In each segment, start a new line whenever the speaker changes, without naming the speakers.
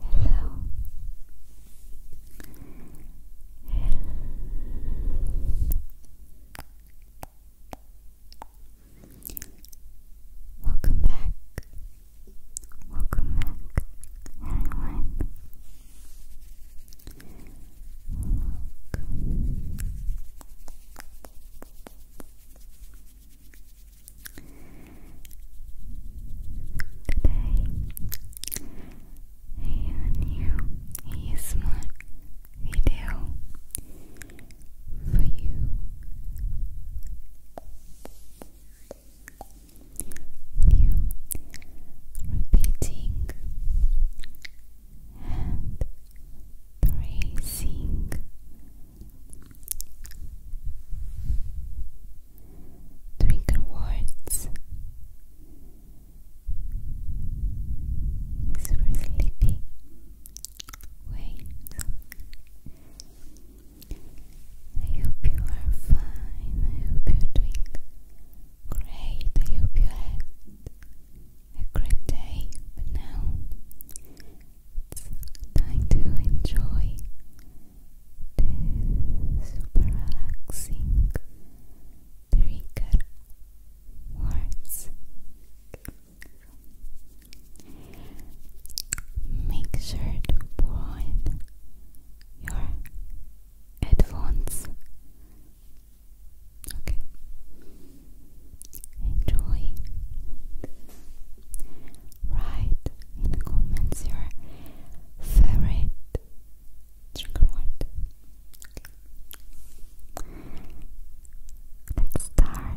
Hello. Hello. Welcome back. Welcome back, everyone a new ASMR video for you. You repeating and tracing. Trigger words super sleepy. Wait. I hope you are fine. I hope you're doing great. I hope you had a great day, but now it's time to enjoy the super relaxing trigger words. Make sure to put your headphones. Okay enjoy. Write in the comments your favorite trigger Let's start.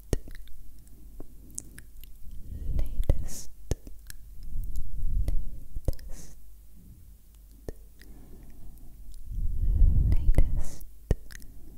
latest, latest, latest. Latest, latest,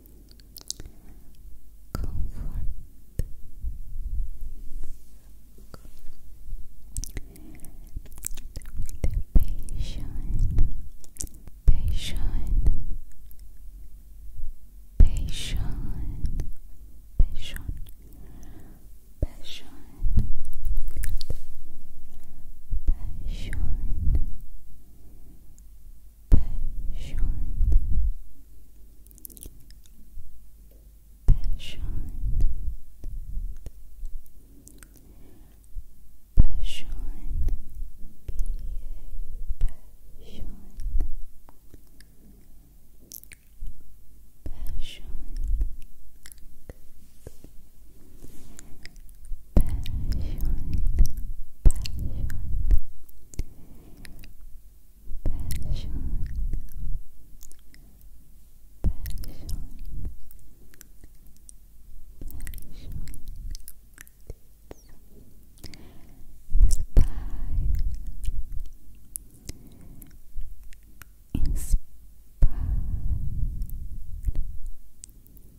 comfort the passion passion passion passion passion passion, passion, passion, passion. passion, passion Inspired, inspired, inspired, inspired, inspired, inspired, inspired,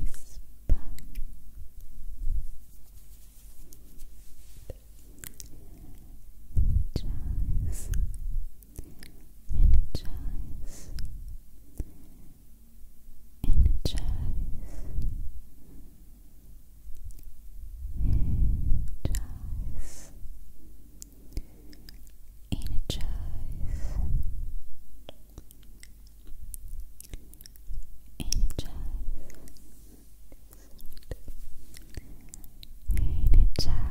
is bad. Energize, energize, energize, energize energize, energize, energize. Energize, energize, energize,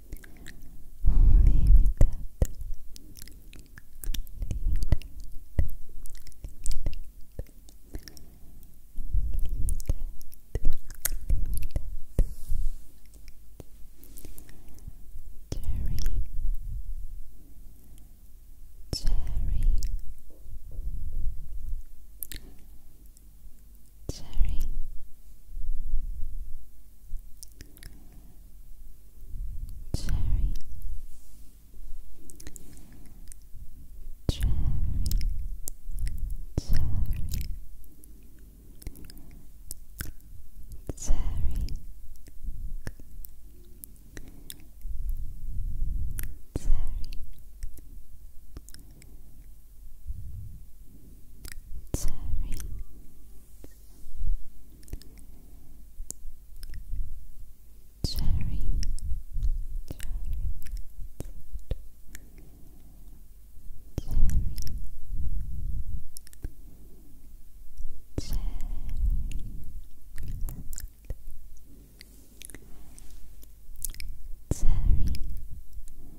Cherry Cherry Cherry Cherry Cherry Cherry Cherry cherry, cherry, cherry, cherry.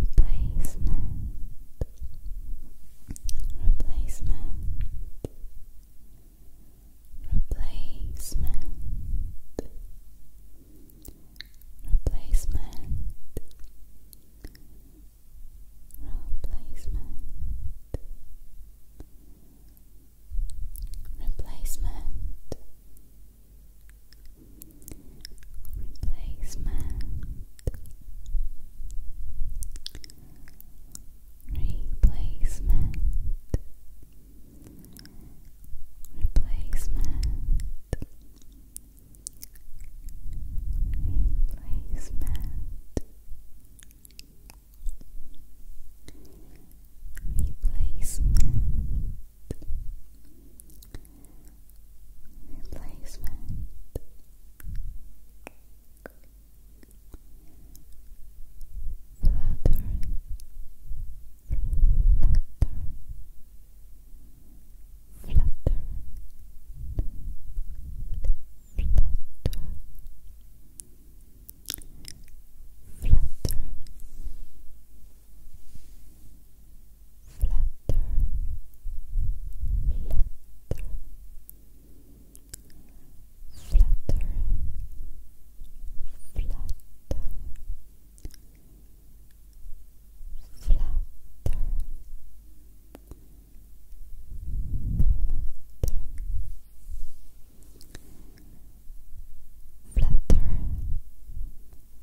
Replacement Replacement Replacement Replacement Replacement Replacement replacement, replacement, replacement, replacement. Replacement, replacement flutter flutter flutter Flutter, flutter, flutter, flutter, flutter, flutter, flutter. Flutter, flutter,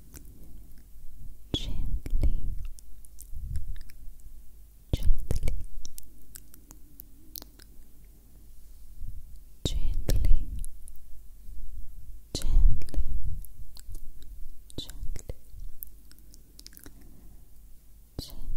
gently gently gently gently gently gently soft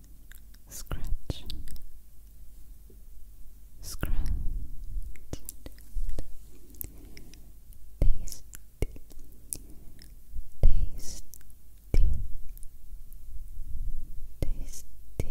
scratch, scratch, taste, taste, taste, taste. Tasty,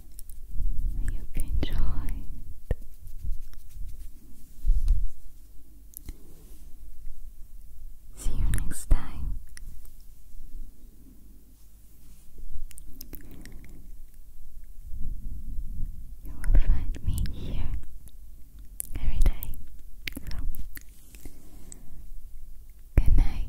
I you enjoyed. See you next time. You will find me here every day. good night.